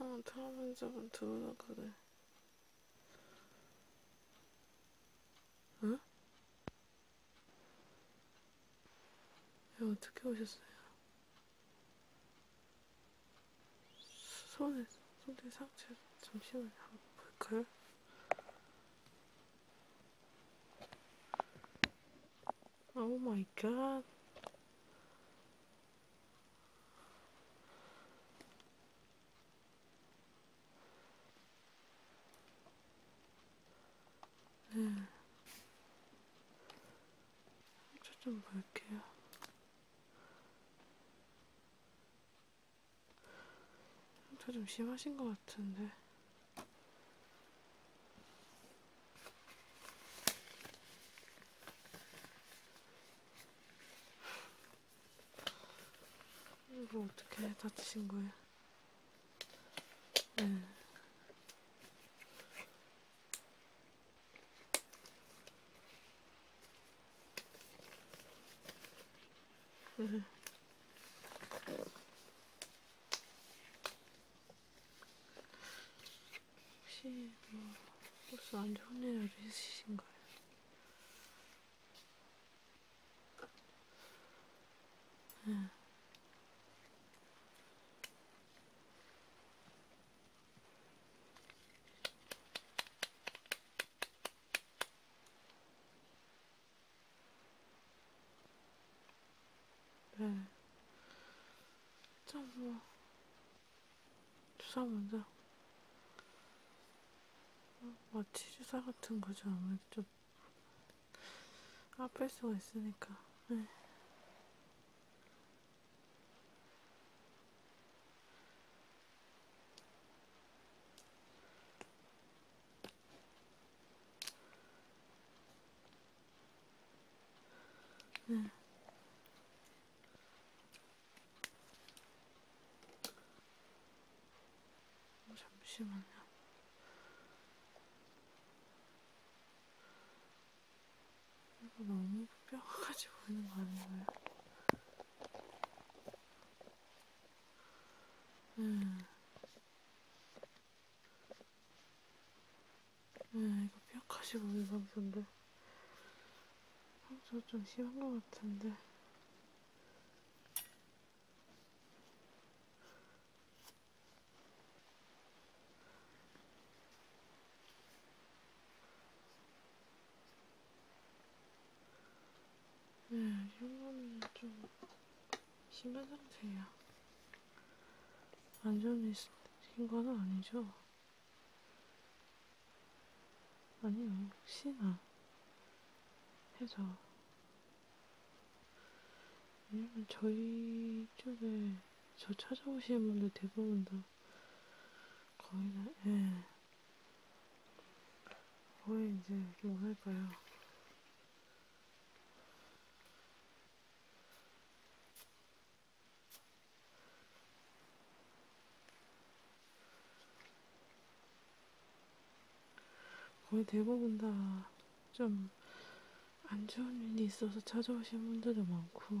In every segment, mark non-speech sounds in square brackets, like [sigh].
어, 들어본 적은 들어라 그래. 응? 어? 야, 어떻게 오셨어요? 손에, 손에 상체 잠시만 한번 볼까요? 오 마이 갓. 네. 좀 볼게요. 상처 좀 심하신 것 같은데. 이거 어떻게 다치신 거예요? 네. 혹시 뭐 버스 안 좋은 일이라도 있으신가요? 응. 네. 참 뭐. 주사 먼저. 마취 주사 같은 거죠. 아무래도 좀 아플 수가 있으니까. 네. 응. 음. 어, 잠시만요. 이거 너무 뼈가지고 오는 거 아닌가요? 음. 음, 이거 뼈가지고 오는 상태인데. 상처 좀 심한 것 같은데. 네, 현관이 좀 심한 상태예요. 완전히 신 거는 아니죠? 아니요, 혹시나 해서. 왜냐면 저희 쪽에 저 찾아오시는 분들 대부분 다 거의 다, 예. 거의 이제, 뭐랄까요. 거의 대부분 다 좀 안 좋은 일이 있어서 찾아오신 분들도 많고,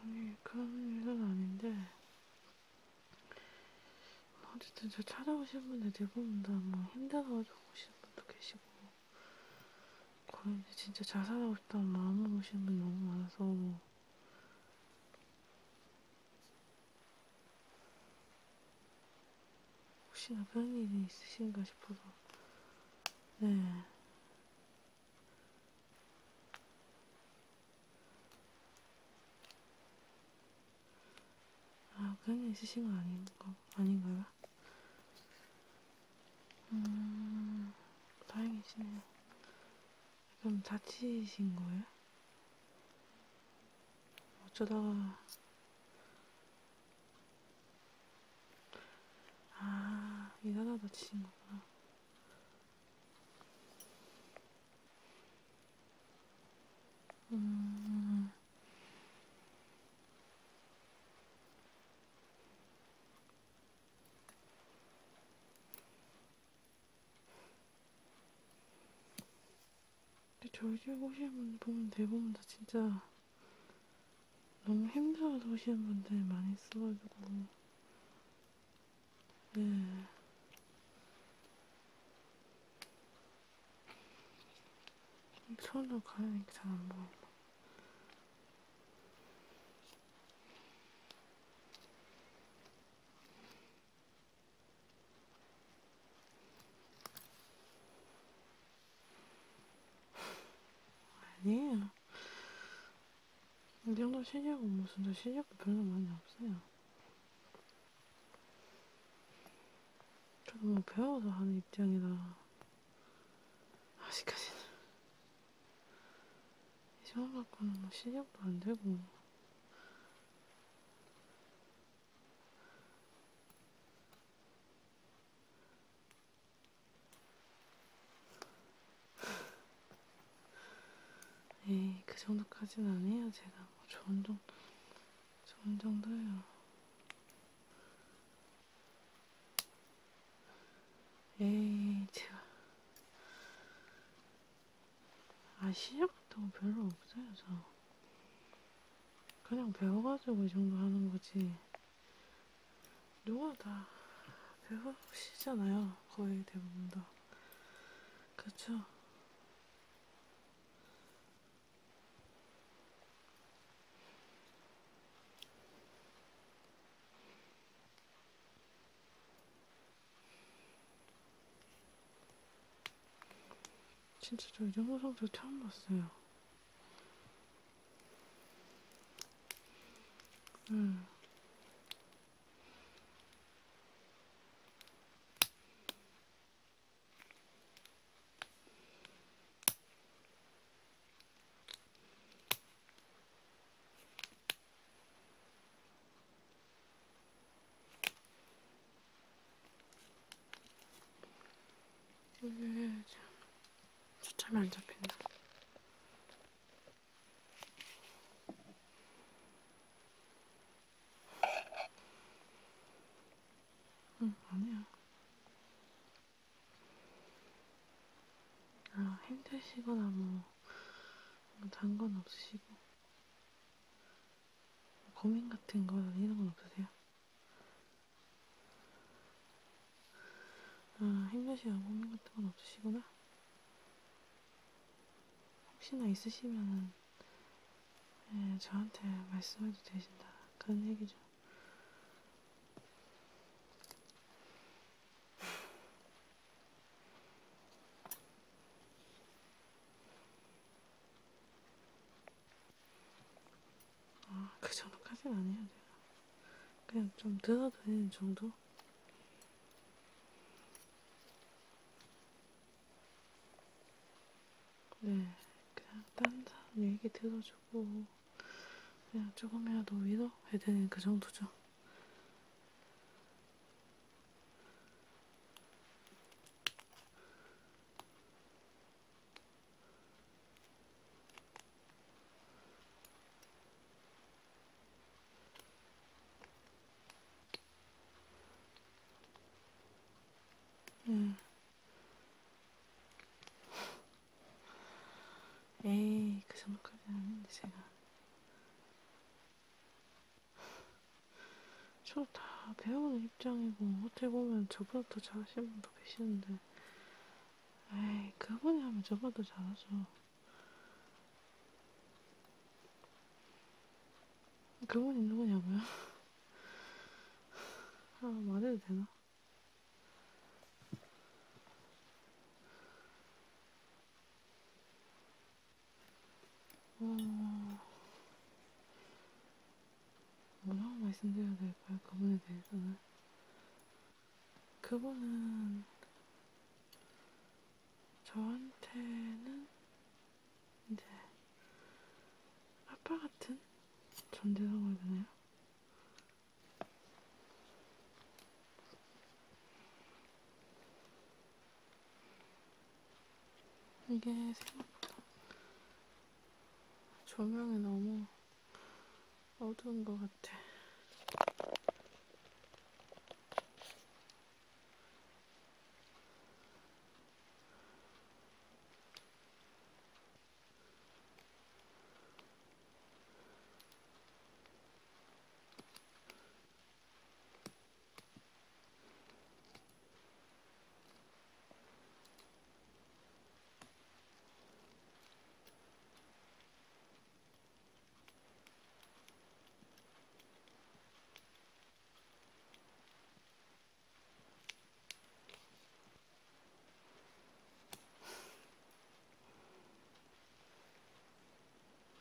아니 그런 일은 아닌데 어쨌든 저 찾아오신 분들 대부분 네 다뭐 힘들어가지고 오시는 분도 계시고 거의 진짜 자살하고 싶다는 마음으로 오시는 분이 너무 많아서 혹시나 그런 일이 있으신가 싶어서 네. 아, 그런 일 있으신 거 아닌가? 아닌가요? 음, 다행이시네요. 그럼 다치신 거예요? 어쩌다가 아, 일하다가 지친 거구나. 음. 근데 저희 집 오시는 분 보면 대부분 다 진짜 너무 힘들어서 오시는 분들 많이 있어가지고 네. 손으로 가려니까 잘 안 보여. 아니에요. 이 정도 시력은 무슨 저 시력도 별로 많이 없어요. 저도 뭐 배워서 하는 입장이라 아직까지는 이 시험 받고는 뭐 시력도 안 되고 에이, 네, 그 정도까지는 안 해요. 제가 뭐 좋은 정도, 좋은 정도예요. 에이, 예, 제가 아시력도 별로 없어요, 저. 그냥 배워가지고 이 정도 하는 거지. 누가 다 배우시잖아요. 거의 대부분 다. 그쵸? 진짜 저이 정도 상태 처음 봤어요. 음. 오늘 참 초점이 안 잡힌다. 응, 아니야. 아, 힘드시거나 뭐, 뭐 단건 없으시고, 뭐 고민 같은 거, 이런 건 없으세요? 아, 햄볕이나 고민 같은 건 없으시구나. 혹시나 있으시면은 예, 저한테 말씀해도 되신다. 그런 얘기죠. 아, 그 정도까지는 아니에요. 그냥 좀 들어다니는 정도? 네, 그냥 딴 사람 얘기 들어주고, 그냥 조금이라도 위로해드리는 그 정도죠. 음. 에이, 그 정도까지는 아닌데, 제가. 저다 배우는 입장이고 어떻게 보면 저보다 더 잘하시는 분도 계시는데 에이 그분이 하면 저보다 잘하죠. 그분이 누구냐고요? [laughs] 아 말해도 되나? 어... 뭐라고 말씀드려야 될까요? 그분에 대해서는 그분은 저한테는 이제 아빠 같은 존재라고 해야 되나요? 이게 생각보다 조명이 너무 어두운 것 같아.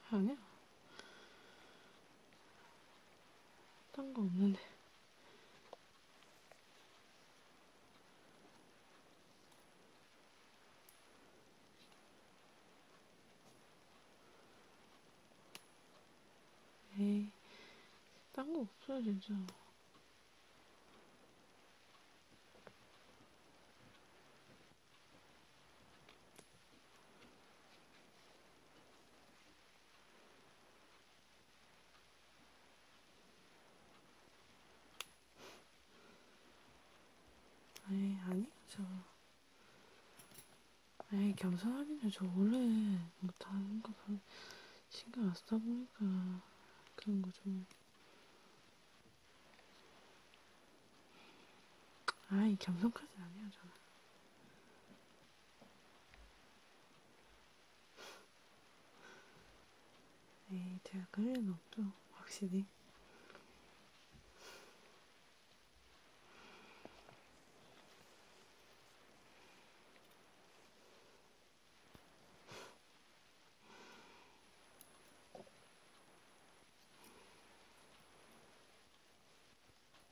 아니야. 딴거 없는데. 에이, 딴 거 없어요, 진짜. 아니, 아니, 저. 아니, 겸손하기는 저 원래 못하는 거 신경 안 쓰다 보니까 그런 거 좀. 아이, 겸손까지는 아니야, 저는. 에이, 제가 그럴 리는 없죠, 확실히.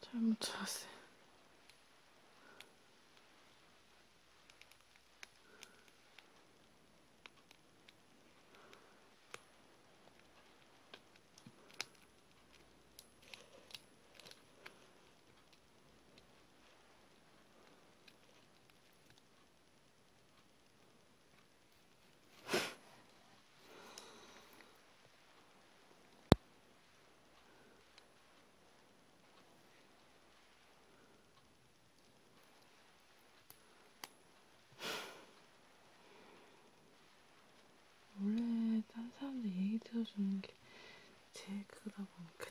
잘못 찾았어요. 원래 딴 사람들 얘기 들어주는 게 제일 크다 보니까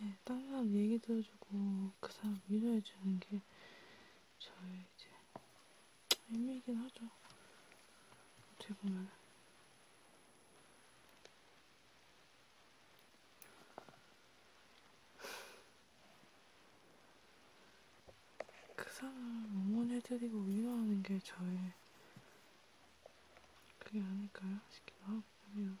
네, 딴 사람 얘기 들어주는 그래가지고 그 사람 위로해 주는 게 저의 이제 의미이긴 하죠. 어떻게 보면. 그 사람 응원해드리고 위로하는 게 저의 그게 아닐까요? 싶기도 하고, 그냥.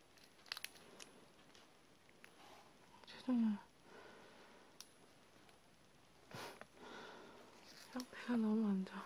세상에. 상태가 너무 안 좋아.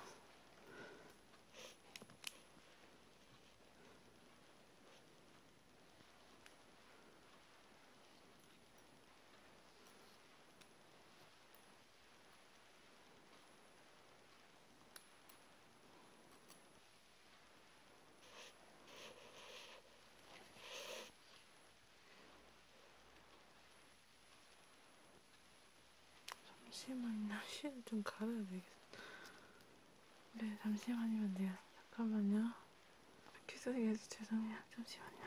잠시만요. 시를 좀 갈아야 되겠어. 네, 잠시만이면 돼요. 네, 잠깐만요. 귀소리 해서 죄송해요. 잠시만요.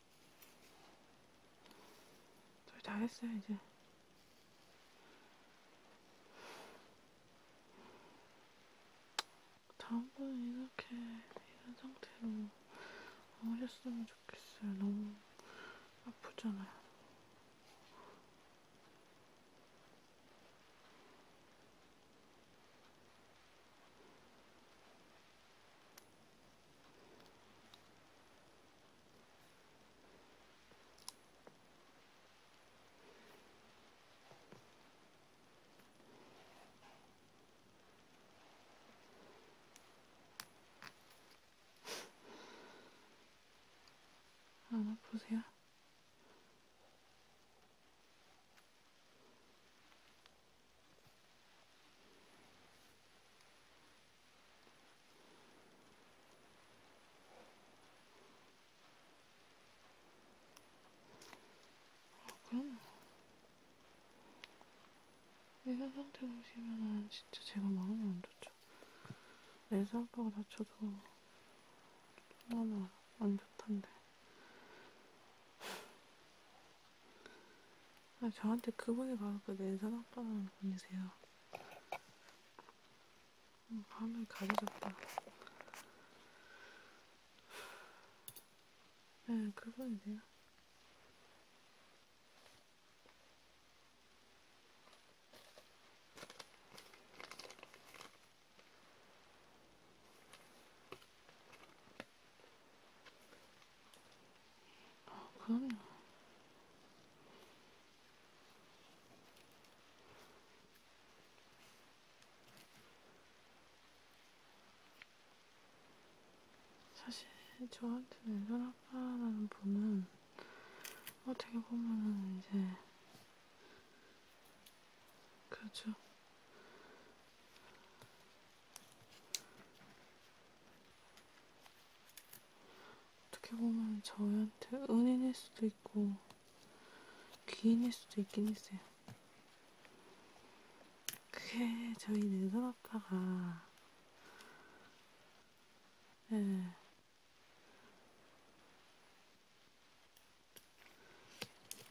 저희 다 했어요, 이제. 다음번에 이렇게 이런 상태로 어렸으면 좋겠어요. 너무 아프잖아요. 하나 보세요. 그럼 내현 상태 보시면은 진짜 제가 마음이 안 좋죠. 내사 아빠가 다쳐도 너무 안 좋던데. 아, 저한테 그분이 바로 그 낸산 아빠라는 분이세요. 음, 밤을 가리졌다. 네, 그분이세요. 아, 그럼요. 사실 저한테는 현 아빠라는 분은 어떻게 보면은 이제 그렇죠. 어떻게 보면 저희한테 은인일 수도 있고 귀인일 수도 있긴 했어요. 그게 저희 내돈 아빠가 네.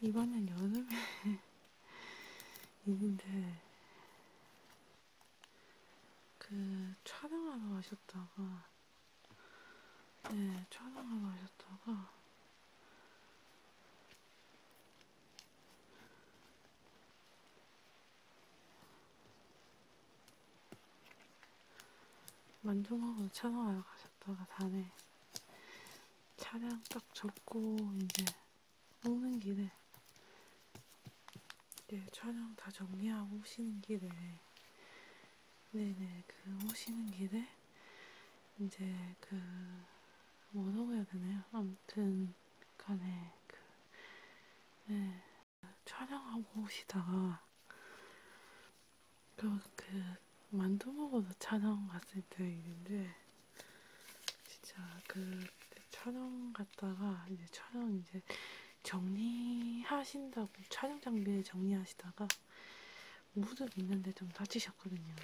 이번엔 여름에 있는데 그 촬영하러 가셨다가 네 촬영하러 가셨다가 만종하고 촬영하러 가셨다가 다음에 차량 딱 접고 이제 오는 길에 네 촬영 다 정리하고 오시는 길에 네네 그 오시는 길에 이제 그 뭐라고 해야 되나요? 아무튼 간에 그 네, 촬영하고 오시다가 그, 그 만두 먹으러 촬영 갔을 때 있는데 진짜 그 촬영 갔다가 이제 촬영 이제 정리하신다고 촬영 장비 정리하시다가 무릎 있는데 좀 다치셨거든요.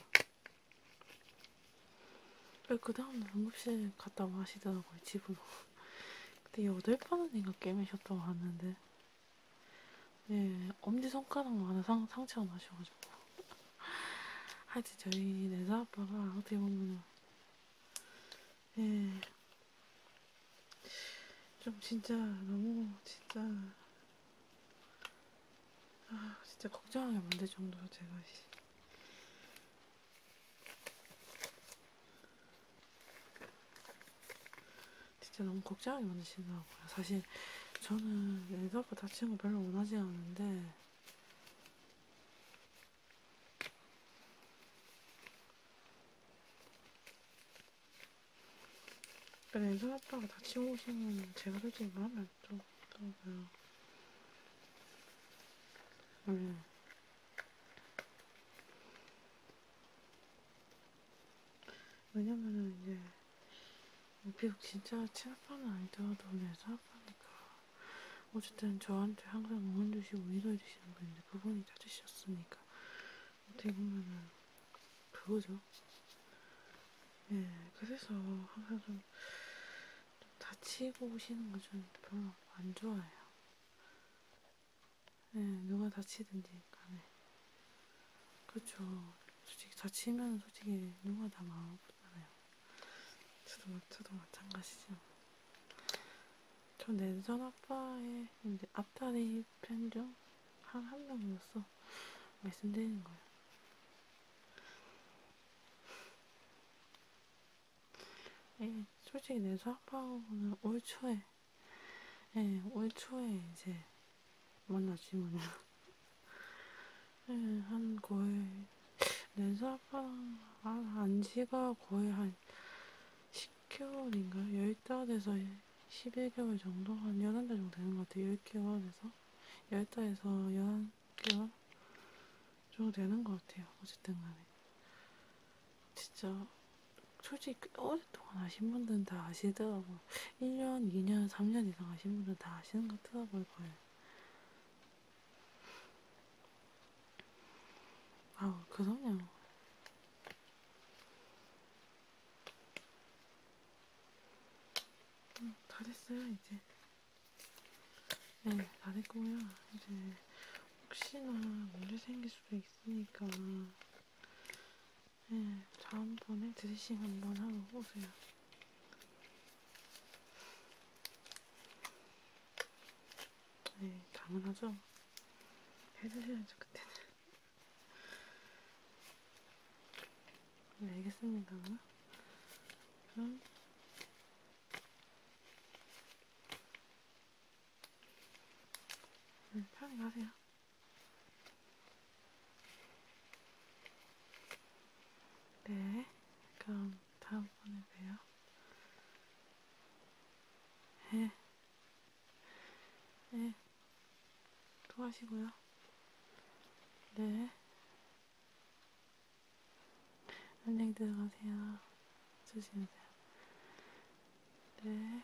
그 다음날 응급실 갔다고 하시더라고요, 집으로. 그때 8번은인가 깨매셨다고 하는데, 네, 엄지손가락만 하나 상, 상처가 나셔가지고. 하여튼 저희 내사 아빠가 어떻게 보면 예, 좀 진짜 너무 진짜 아 진짜 걱정하게 만들 정도로 제가 진짜 너무 걱정하게 만드시더라고요. 사실 저는 내사 아빠 다치는 거 별로 원하지 않는데 렌즈 갔다가 다치고 오시면 제가 솔직히 말하면 좀 그렇더라고요. 음. 왜냐면은 이제 비록 진짜 친아빠는 아니더라도 내 사아빠니까 어쨌든 저한테 항상 응원 주시고 위로해 주시는 분인데 그분이 찾으셨으니까 어떻게 보면은 그거죠. 예, 그래서 항상 좀, 좀 다치고 오시는 거 좀 별로 안 좋아해요. 예, 누가 다치든지 간에. 그렇죠. 솔직히 다치면 솔직히 누가 다 마음 아프잖아요. 저도, 저도 마찬가지죠. 저 내전 아빠의 이제 앞다리 편중 한 한 명으로서 말씀드리는 거예요. 예, 솔직히 내전 아빠하고는 올 초에, 예, 올 초에 이제 만나지만요. 네, 한 거의 네살방안 지가 거의 한 10개월인가요? 10달에서 11개월 정도? 한 11달 정도 되는 것 같아요. 10개월에서 10달에서 11개월 정도 되는 것 같아요. 어쨌든 간에 진짜 솔직히 오랫동안 아신 분들은 다 아시더라고요. 1년, 2년, 3년 이상 아신 분들은 다 아시는 것 같더라고요. 거의. 아, 그럼요. 음, 다 됐어요, 이제. 네, 다 됐고요. 이제 혹시나 문제 생길 수도 있으니까 네, 다음번에 드레싱 한번 하고 오세요. 네, 당연하죠. 해드셔야죠, 그때는. 네, 알겠습니다. 그럼. 네, 편히 가세요. 네, 그럼 다음번에 봬요. 네, 네, 또 하시고요. 네, 안녕히 들어가세요. 조심하세요. 네.